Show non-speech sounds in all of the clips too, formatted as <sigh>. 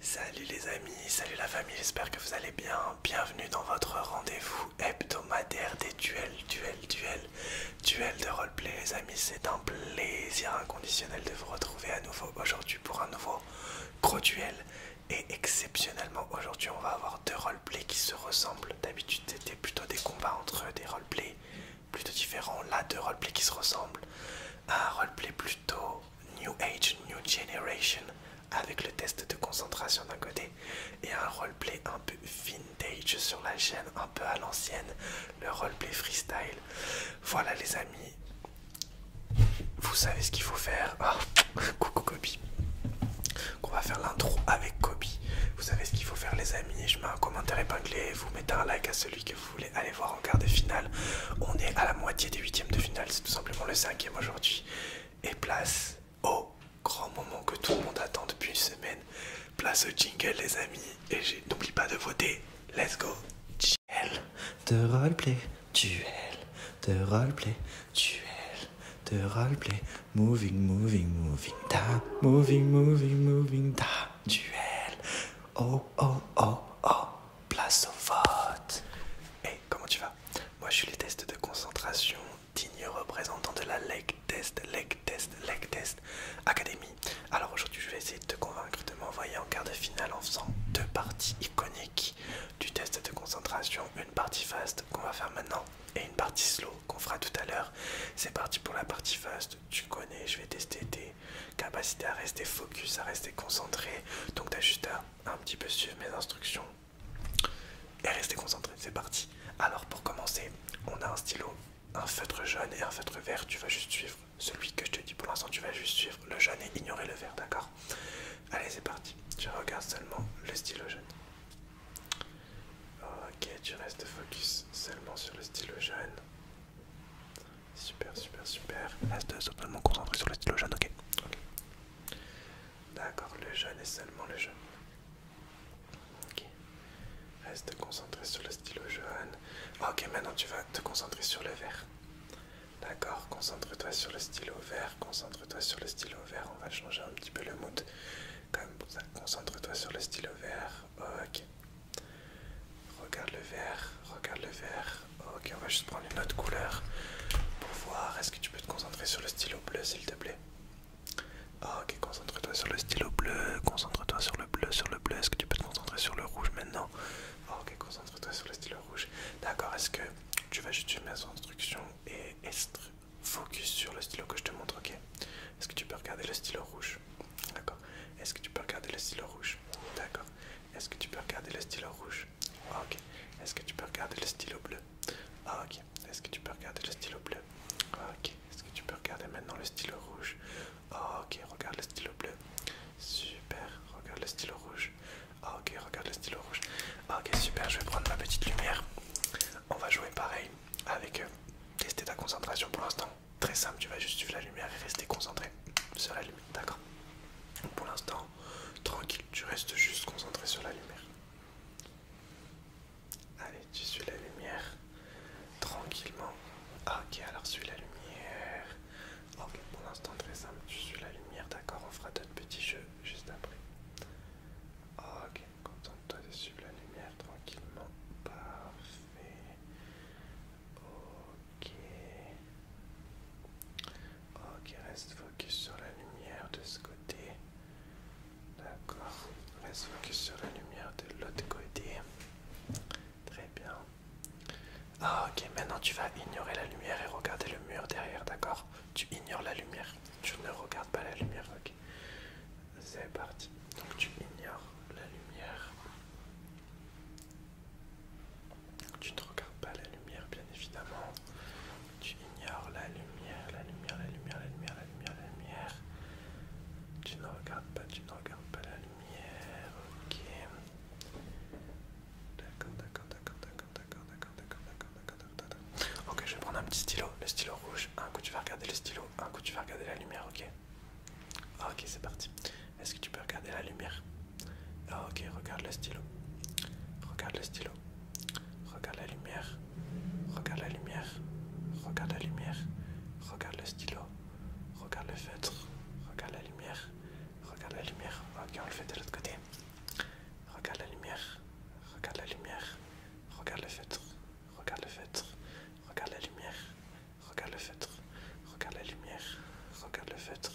Salut les amis, salut la famille, j'espère que vous allez bien. Bienvenue dans votre rendez-vous hebdomadaire des duels, duels, duels, duels de roleplay les amis. C'est un plaisir inconditionnel de vous retrouver à nouveau aujourd'hui pour un nouveau gros duel. Et exceptionnellement aujourd'hui on va avoir deux roleplays qui se ressemblent. D'habitude c'était plutôt des combats entre des roleplays plutôt différents. Là deux roleplays qui se ressemblent. Un roleplay plutôt New Age, New Generation, avec le test de concentration d'un côté et un roleplay un peu vintage sur la chaîne, un peu à l'ancienne, le roleplay freestyle. Voilà les amis, vous savez ce qu'il faut faire. Ah, <laughs> coucou Kobe. On va faire l'intro avec Kobe. Vous savez ce qu'il faut faire les amis, je mets un commentaire épinglé, vous mettez un like à celui que vous voulez allez voir en quart de finale. On est à la moitié des huitièmes de finale, c'est tout simplement le cinquième aujourd'hui. Et place au grand moment que tout le monde attend depuis une semaine. Place au jingle les amis. Et n'oublie pas de voter. Let's go. Duel de roleplay, duel de roleplay, duel de roleplay. Moving, moving, moving, Moving, moving, moving, da. Duel. Oh, oh, oh, oh place au vote. Et comment tu vas Moi je suis les tests de concentration, digne représentant de la leg test, leg test, leg test académie. Alors aujourd'hui je vais essayer de te convaincre de m'envoyer en quart de finale en faisant deux parties iconiques du test de concentration, une partie fast qu'on va faire maintenant et une partie slow qu'on fera tout à l'heure. C'est parti pour la partie fast tu connais, je vais tester tes capacités à rester focus, à rester concentré. Donc t'as juste à un petit peu suivre mes instructions et rester concentré. C'est parti. Alors pour commencer, on a un stylo, un feutre jaune et un feutre vert. Tu vas juste suivre celui que je te dis pour l'instant, tu vas juste suivre le jaune et ignorer le vert, d'accord Allez, c'est parti. Tu regardes seulement le stylo jaune. Ok, tu restes focus seulement sur le stylo jaune. Super, super, super. Reste totalement concentré sur le stylo jaune, ok. D'accord, le jaune est seulement le jaune. Ok. Reste concentré sur le stylo jaune. Ah, ok, maintenant tu vas te concentrer sur le vert. D'accord, concentre-toi sur le stylo vert, concentre-toi sur le stylo vert. On va changer un petit peu le mood. Comme ça, concentre-toi sur le stylo vert. Ok. Regarde le vert, regarde le vert. Ok, on va juste prendre une autre couleur pour voir. Est-ce que tu peux te concentrer sur le stylo bleu, s'il te plaît ah, Ok, concentre-toi sur le stylo bleu, concentre-toi sur le bleu, sur le bleu. Est-ce que tu peux te concentrer sur le rouge maintenant ah, Ok, concentre-toi sur le stylo rouge. D'accord, est-ce que tu vas juste suivre mes instructions et est focus sur le stylo que je te montre, ok Est-ce que tu peux regarder le stylo rouge D'accord. Est-ce que tu peux regarder le stylo rouge D'accord. Est-ce que tu peux regarder le stylo rouge ah, Ok. Est-ce que tu peux regarder le stylo bleu ah, Ok. Est-ce que tu peux regarder le stylo bleu ah, Ok. Est-ce que tu peux regarder maintenant le stylo rouge Ok. Regarde le stylo bleu. Super. Regarde le stylo rouge. ok. Regarde le stylo rouge. ok. Super. Je vais prendre ma petite lumière. On va jouer pareil avec euh, tester ta concentration pour l'instant. Très simple, tu vas juste suivre la lumière et rester concentré sur la lumière, d'accord Pour l'instant, tranquille, tu restes juste concentré sur la lumière. Allez, tu suis la lumière tranquillement. Ok, alors suis la lumière. Ok, pour l'instant, très simple, tu suis la lumière, d'accord On fera d'autres petits jeux juste après. Ok, contente-toi de suivre la lumière tranquillement. Parfait. Ok. Ok, reste focus sur la lumière de ce côté. D'accord. Reste focus sur la lumière de l'autre côté. Très bien. Ah, ok, maintenant tu vas ignorer la lumière et regarder le mur derrière, d'accord Tu ignores la lumière. Tu ne regardes pas la lumière, ok c'est parti. Donc tu ignores la lumière. Tu ne regardes pas la lumière, bien évidemment. Tu ignores la lumière, la lumière, la lumière, la lumière, la lumière, la lumière. Tu ne regardes pas, tu ne regardes pas la lumière. Ok. D'accord, d'accord, d'accord, d'accord, d'accord, d'accord, d'accord, d'accord, d'accord, d'accord. Ok, je vais prendre un petit stylo, le stylo rouge. Un coup tu vas regarder le stylo, un coup tu vas regarder la lumière, ok. Ah, ok, c'est parti. Est-ce que tu peux regarder la lumière ah, ok, regarde le stylo. Regarde le stylo. Regarde la lumière. Regarde la lumière. Regarde la lumière. Regarde le stylo. Regarde le feutre. Regarde la lumière. Regarde la lumière. Ok, on le fait de l'autre côté. Regarde la lumière. Regarde la lumière. Regarde le feutre. Regarde le feutre. Regarde la lumière. Regarde le feutre. Regarde la lumière. Regarde le feutre.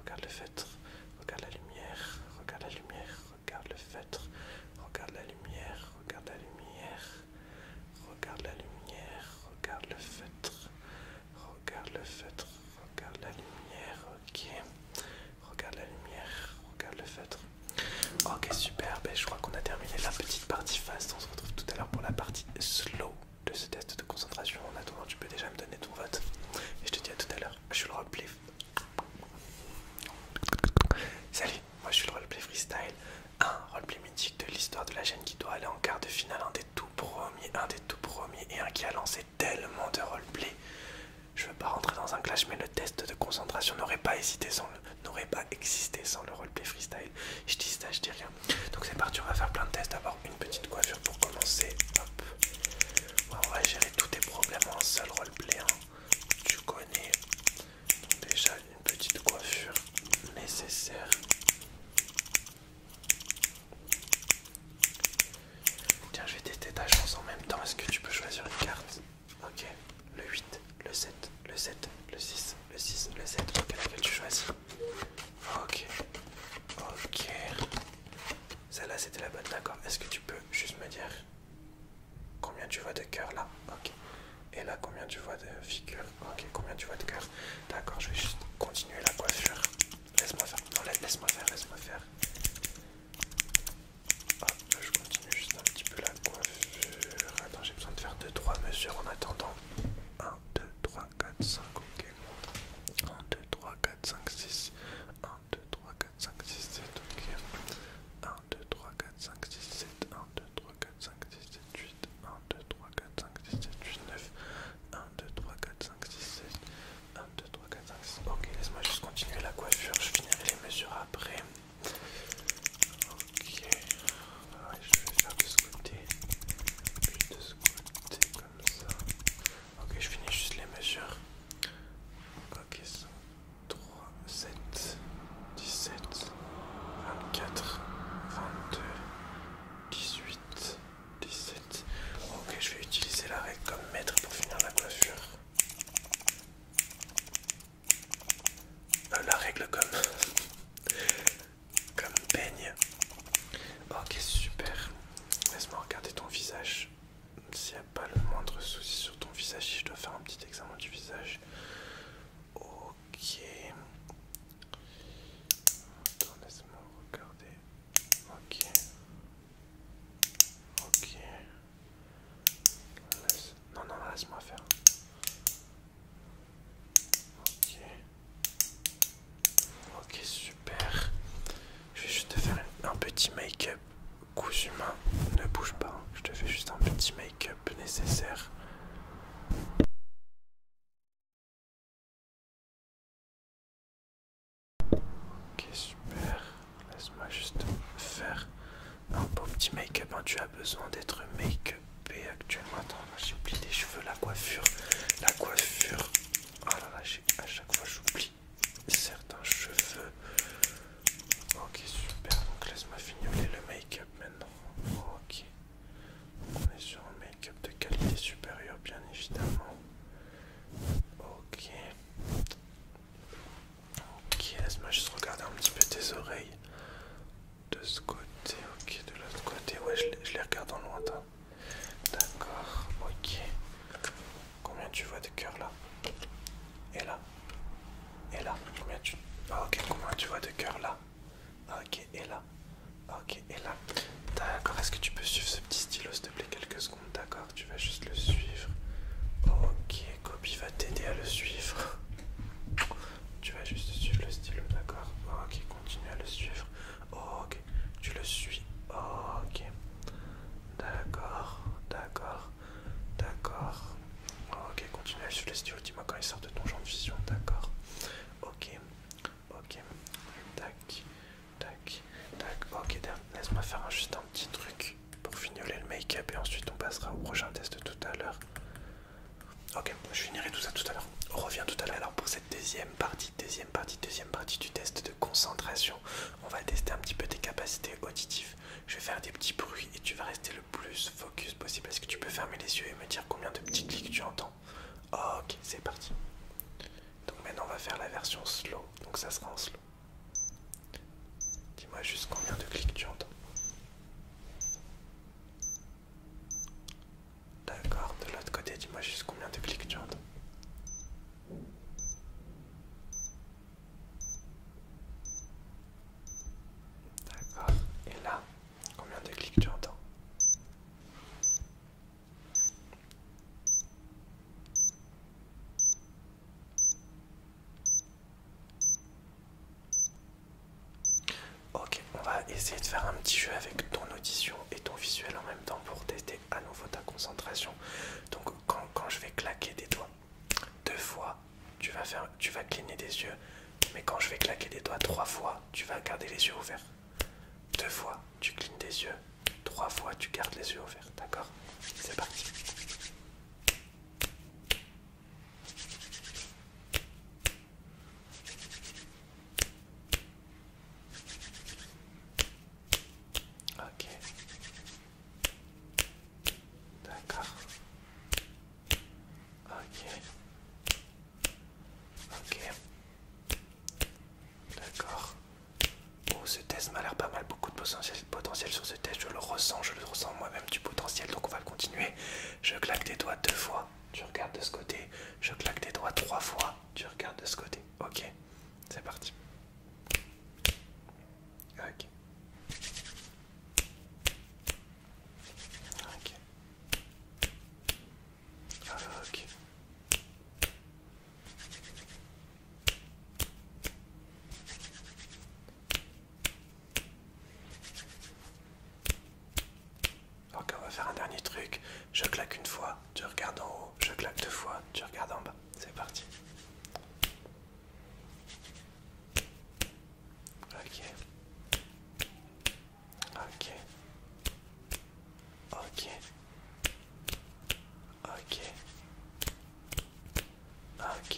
Regarde le feutre. Regarde la lumière. Regarde la lumière. Regarde le feutre. Regarde la lumière. Regarde la lumière. Regarde la lumière. Regarde le feutre. Regarde le feutre. Regarde la lumière. Ok. Regarde la lumière. Regarde le feutre. Ok, super. Ben, je crois qu'on a terminé la petite partie fast. On se retrouve tout à l'heure pour la partie slow de ce test de concentration. En attendant, tu peux déjà me donner ton vote. Et je te dis à tout à l'heure. Je suis le roleplay. Salut, moi je suis le roleplay freestyle. Un roleplay mythique de l'histoire de la chaîne qui doit aller en quart de finale. Un des tout premiers, un des tout premiers et un qui a lancé tellement de roleplay. Je veux pas rentrer dans un clash, mais le test de concentration n'aurait pas hésité sans le n'aurait pas existé sans le roleplay freestyle. Je dis ça, je dis rien. Donc c'est parti, on va faire plein de tests. D'abord une petite coiffure pour commencer. Hop. On va gérer tous tes problèmes en seul roleplay. Hein. Tu connais. déjà une petite coiffure nécessaire. Tiens, je vais tester ta chance en même temps. Est-ce que tu peux choisir une carte Ok, le 8, le 7, le 7, le 6, le 6, le 7. Ok, laquelle tu choisis Ok, ok. Celle-là, c'était la bonne, d'accord. Est-ce que tu peux juste me dire combien tu vois de cœur là Ok. Et là, combien tu vois de figure Ok, combien tu vois de cœur D'accord, je vais juste continuer la coiffure. Laisse-moi faire. laisse-moi faire, laisse-moi faire. Ah, je continue juste un petit peu la coiffure. j'ai besoin de faire 2-3 mesures en attendant. 1, 2, 3, 4, 5, ok. 1, 2, 3, 4, 5, 6. 1, 2, 3, 4, 5, 6, 7, ok. 1, 2, 3, 4, 5, 6, 7. 1, 2, 3, 4, 5, 6, 7, 8. 1, 2, 3, 4, 5, 6, 7, 8, 9. 1, 2, 3, 4, 5, 6, 7. 1, 2, 3, 4, 5, 6. Ok, laisse-moi juste continuer la coiffure. Je finirai les mesures après. Ok, je vais faire de ce côté, puis de ce côté comme ça. Ok, je finis juste les mesures. Ok, 3, 7, 17, 24, 22, 18, 17. Ok, je vais utiliser la règle comme maître pour finir la coiffure. Euh, la règle comme comme peigne. Ok super. Laisse-moi regarder ton visage. S'il n'y a pas le moindre souci sur ton visage, si je dois faire un petit examen du visage. Ok. Attends, laisse-moi regarder. Ok. Ok. Non, non, laisse-moi faire. Ok. Ok, super. Je vais juste te faire un petit make-up. Cousu humain, ne bouge pas. Hein. Je te fais juste un petit make-up nécessaire. Ok, super. Laisse-moi juste faire un beau petit make-up. Hein. Tu as besoin d'être make-upé actuellement. Attends, j'ai oublié les cheveux, la coiffure. La coiffure. Alors ah à chaque fois j'oublie certains cheveux. Ok, super. Donc laisse-moi fignoler le make-up maintenant. Ok. On est sur un make-up de qualité supérieure, bien évidemment. Ok. Ok, laisse-moi juste regarder un petit peu tes oreilles. De ce côté, ok, de l'autre côté, ouais, je, les regarde en lointain. D'accord, ok. Combien tu vois de cœurs là Et là Et là Combien tu. Ah, ok, combien tu vois de cœurs là ah, Ok, et là ah, Ok, et là D'accord, est-ce que tu peux suivre ce petit stylo s'il te plaît quelques d'accord Tu vas juste le suivre. Ok, Copy va t'aider à le suivre. Tu vas juste suivre le stylo, d'accord Ok, continue à le suivre. Ok, tu le suis. Ok. D'accord, d'accord, d'accord. Ok, continue à suivre le stylo. Dis-moi quand il sort de ton genre de vision, d'accord Ok, ok. Tac, tac, tac. Ok, laisse-moi faire juste un petit truc pour fignoler le make-up et ensuite on passera au prochain test tout à l'heure. Ok, je finirai tout ça tout à l'heure. On revient tout à l'heure pour cette deuxième partie, deuxième partie, deuxième partie du test de concentration. On va tester un petit peu tes capacités auditives. Je vais faire des petits bruits et tu vas rester le plus focus possible. Est-ce que tu peux fermer les yeux et me dire combien de petits clics tu entends Ok, c'est parti. Donc maintenant on va faire la version slow. Donc ça sera en slow. Dis-moi juste combien de clics tu entends. D'accord, de l'autre côté, dis-moi juste combien de clics tu entends. D'accord, et là, combien de clics tu entends Ok, on va essayer de faire un petit jeu avec ton audition et ton visuel en même temps pour tester à nouveau ta concentration. Donc quand, je vais claquer des doigts deux fois, tu vas, faire, tu vas cligner des yeux. Mais quand je vais claquer des doigts trois fois, tu vas garder les yeux ouverts. Deux fois, tu clignes des yeux. Trois fois, tu gardes les yeux ouverts, d'accord C'est parti. Ok. D'accord. Ok. Ok. D'accord. Oh, ce test m'a l'air pas mal, beaucoup de potentiel, sur ce test, je le ressens, je le ressens moi-même du potentiel, donc on va le continuer. Je claque des doigts deux fois, tu regardes de ce côté, je claque des doigts trois fois, tu regardes de ce côté. Ok, c'est parti. Ok. Ok. Ok. Ok, on va faire un dernier truc. Je claque une fois, tu regardes en haut. Je claque deux fois, tu regardes en bas. C'est parti. Ok. Ok. Ok. Ok. Ok.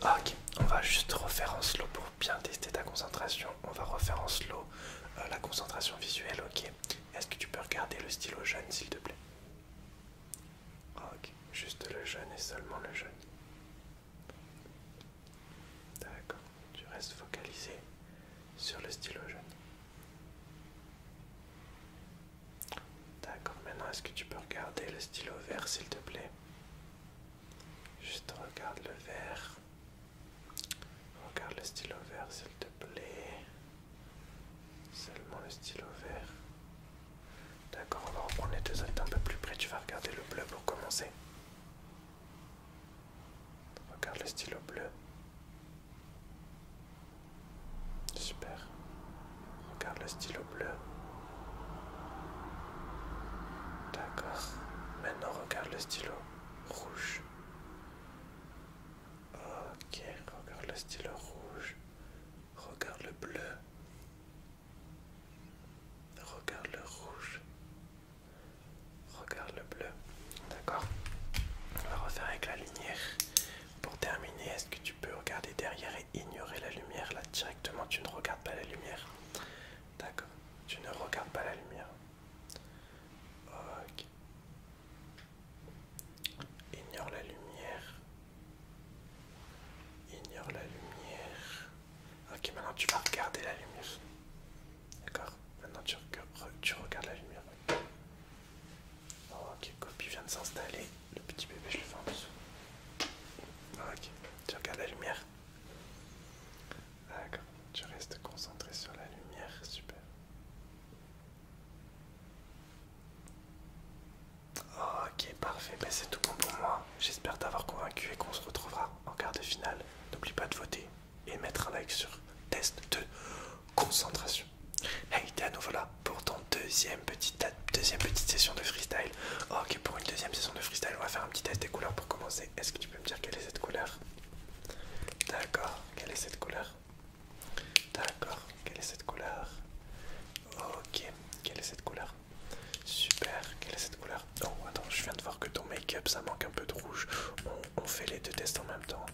Ok, on va juste refaire en slow pour bien tester ta concentration. On va refaire en slow euh, la concentration visuelle, ok. Est-ce que tu peux regarder le stylo jeune, s'il te plaît Ok, juste le jaune et seulement le jaune. D'accord, tu restes focalisé sur le stylo jaune. D'accord, maintenant est-ce que tu peux regarder le stylo vert s'il te plaît Juste regarde le vert. Regarde le stylo vert s'il te plaît. Seulement le stylo vert. D'accord, on va reprendre les deux autres un peu plus près. Tu vas regarder le bleu pour commencer. Regarde le stylo bleu. Super. Regarde le stylo bleu. D'accord. Maintenant, regarde le stylo rouge. Ok, regarde le stylo rouge. Regarde le bleu. Regarde le rouge. Regarde le bleu. D'accord On va refaire avec la lumière. Pour terminer, est-ce que tu peux regarder derrière et ignorer la lumière Là, directement, tu ne regardes pas la lumière. D'accord Tu ne regardes pas la lumière. Ok. Ignore la lumière. Ignore la lumière. Ok, maintenant tu vas regarder la lumière. D'accord Maintenant tu regardes, la lumière. Ah, ok, copie vient de s'installer. Le petit bébé, je le fais en dessous. Ah, ok, tu regardes la lumière. D'accord, tu restes concentré sur la lumière. Super. Ah, ok, parfait. Ben, c'est tout bon pour moi. J'espère t'avoir convaincu et qu'on se retrouvera en quart de finale. N'oublie pas de voter et mettre un like sur test de concentration. Hey, t'es à nouveau là pour ton deuxième petite, deuxième petite session de freestyle. Ok, pour une deuxième session de freestyle, on va faire un petit test des couleurs pour commencer. Est-ce que tu peux me dire quelle est cette couleur D'accord, quelle est cette couleur D'accord, quelle est cette couleur Ok, quelle est cette couleur Super, quelle est cette couleur Oh, attends, je viens de voir que ton make-up ça manque un peu de rouge. On, fait les deux tests en même temps.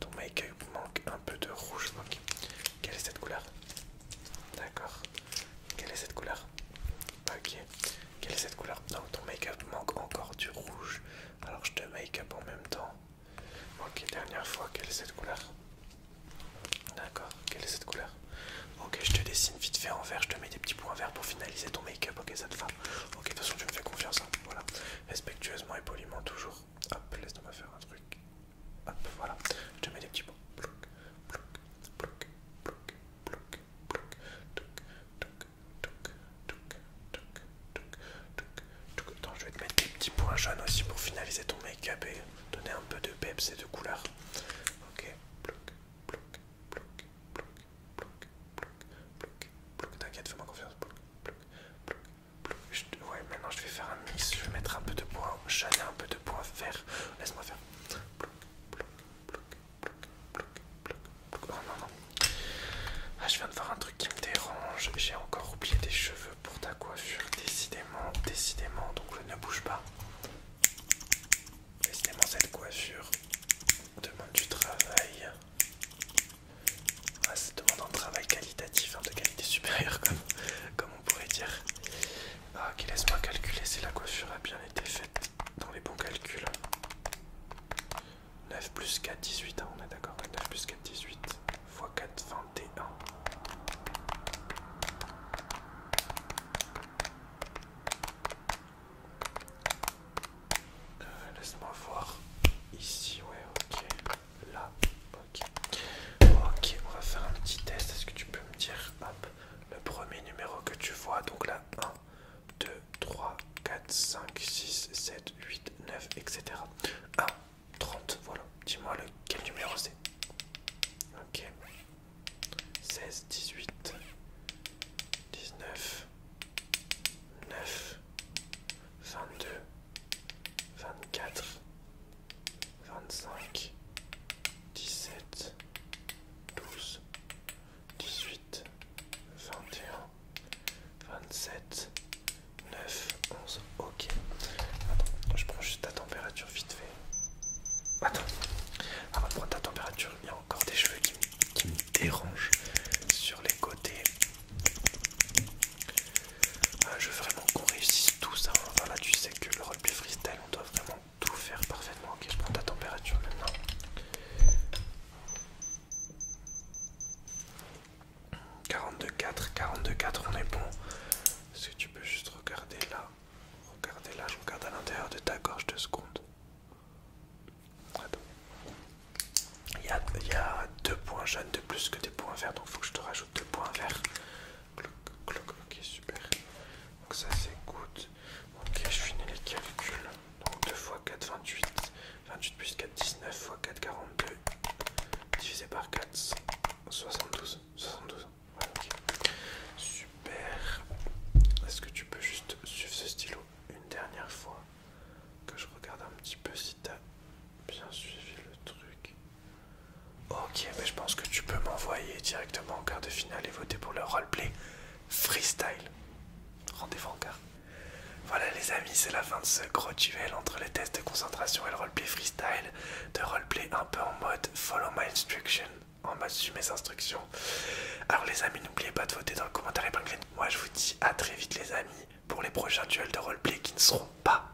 Ton make-up manque un peu de rouge. Ok. Quelle est cette couleur D'accord. Quelle est cette couleur Ok. Quelle est cette couleur Non, ton make-up manque encore du rouge. Alors je te make-up en même temps. Ok, dernière fois, quelle est cette couleur D'accord, quelle est cette couleur Ok, je te dessine vite fait en vert, je te mets des petits points verts pour finaliser ton make-up, ok, ça fois. va Ok, de toute façon, tu me fais confiance. Hein. Voilà. Respectueusement et poliment, toujours. Hop, laisse-moi faire un truc. Hop, voilà. Je te mets des petits points. bloc, plouc, plouc, plouc, plouc, plouc. Touc, touc, touc, touc, touc, touc, touc. Attends, je vais te mettre des petits points jaunes aussi pour finaliser ton make-up et donner un peu de peps et de couleur. Ok, Bloc, bloc bloc, bloc, bloc, bloc, bloc, bloc. T'inquiète, fais-moi confiance. ouais, maintenant je vais faire un mix. Je vais mettre un peu de bois jaune, un peu de bois vert. Laisse-moi faire. Bloc, bloc. non, non. Ah, je viens de voir un truc qui me dérange. J'ai encore oublié des cheveux pour ta coiffure. Décidément, décidément. Donc ne bouge pas. Décidément, cette coiffure demande du travail. Ah, ça demande un travail qualitatif, hein, de qualité supérieure, <laughs> comme, on pourrait dire. Ah, ok, laisse-moi calculer si la coiffure a bien été faite dans les bons calculs. 9 plus 4, 18, hein, on est d'accord. 9 plus 4, 18, x 4, 21. Euh, laisse-moi voir. Ici, ouais, ok. Là, ok. Ok, on va faire un petit test. Est-ce que tu peux me dire, hop, le premier numéro que tu vois Donc là, 1, 2, 3, 4, 5, 6, 7, 8, 9, etc. 1, 30, voilà. Dis-moi quel numéro c'est. Ok. 16, 18, 19, 9, 22, 24, 25, 17, 12, 18, 21, 27, 9, 11, ok. Attends, je prends juste ta température vite fait. Attends, avant ah, bah, de prendre ta température, il y a encore des cheveux qui, me dérangent sur les côtés. Ah, je veux vraiment qu'on réussisse tout ça. Voilà, tu sais que le rugby freestyle, on doit vraiment tout faire parfaitement. Ok, je prends la température maintenant. « 42,4, 42,4, on est bon. Est-ce que tu peux juste regarder là Regardez là, je regarde à l'intérieur de ta gorge deux secondes. Il y, a, il y a deux points jaunes de plus que des points verts, donc il faut que je te rajoute deux points verts. ok, super. Donc ça c'est good. Ok, je finis les calculs. Donc 2 x 4, 28. 28 plus 4, 19 x 4, 42. Divisé par 4, 72. 72. Super. Est-ce que tu peux juste suivre ce stylo une dernière fois que je regarde un petit peu si t'as bien suivi le truc. Ok, mais je pense que tu peux m'envoyer directement en quart de finale et voter pour le roleplay freestyle. Rendez-vous en quart. Voilà les amis, c'est la fin de ce gros duel entre les tests de concentration et le roleplay freestyle, de roleplay un peu en mode follow my instruction en bas mes instructions. Alors les amis, n'oubliez pas de voter dans le commentaire Moi je vous dis à très vite les amis pour les prochains duels de roleplay qui ne seront pas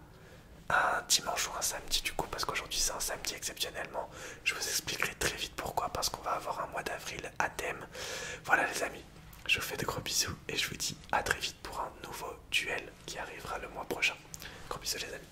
un dimanche ou un samedi du coup parce qu'aujourd'hui c'est un samedi exceptionnellement. Je vous expliquerai très vite pourquoi parce qu'on va avoir un mois d'avril à thème. Voilà les amis, je vous fais de gros bisous et je vous dis à très vite pour un nouveau duel qui arrivera le mois prochain. Gros bisous les amis.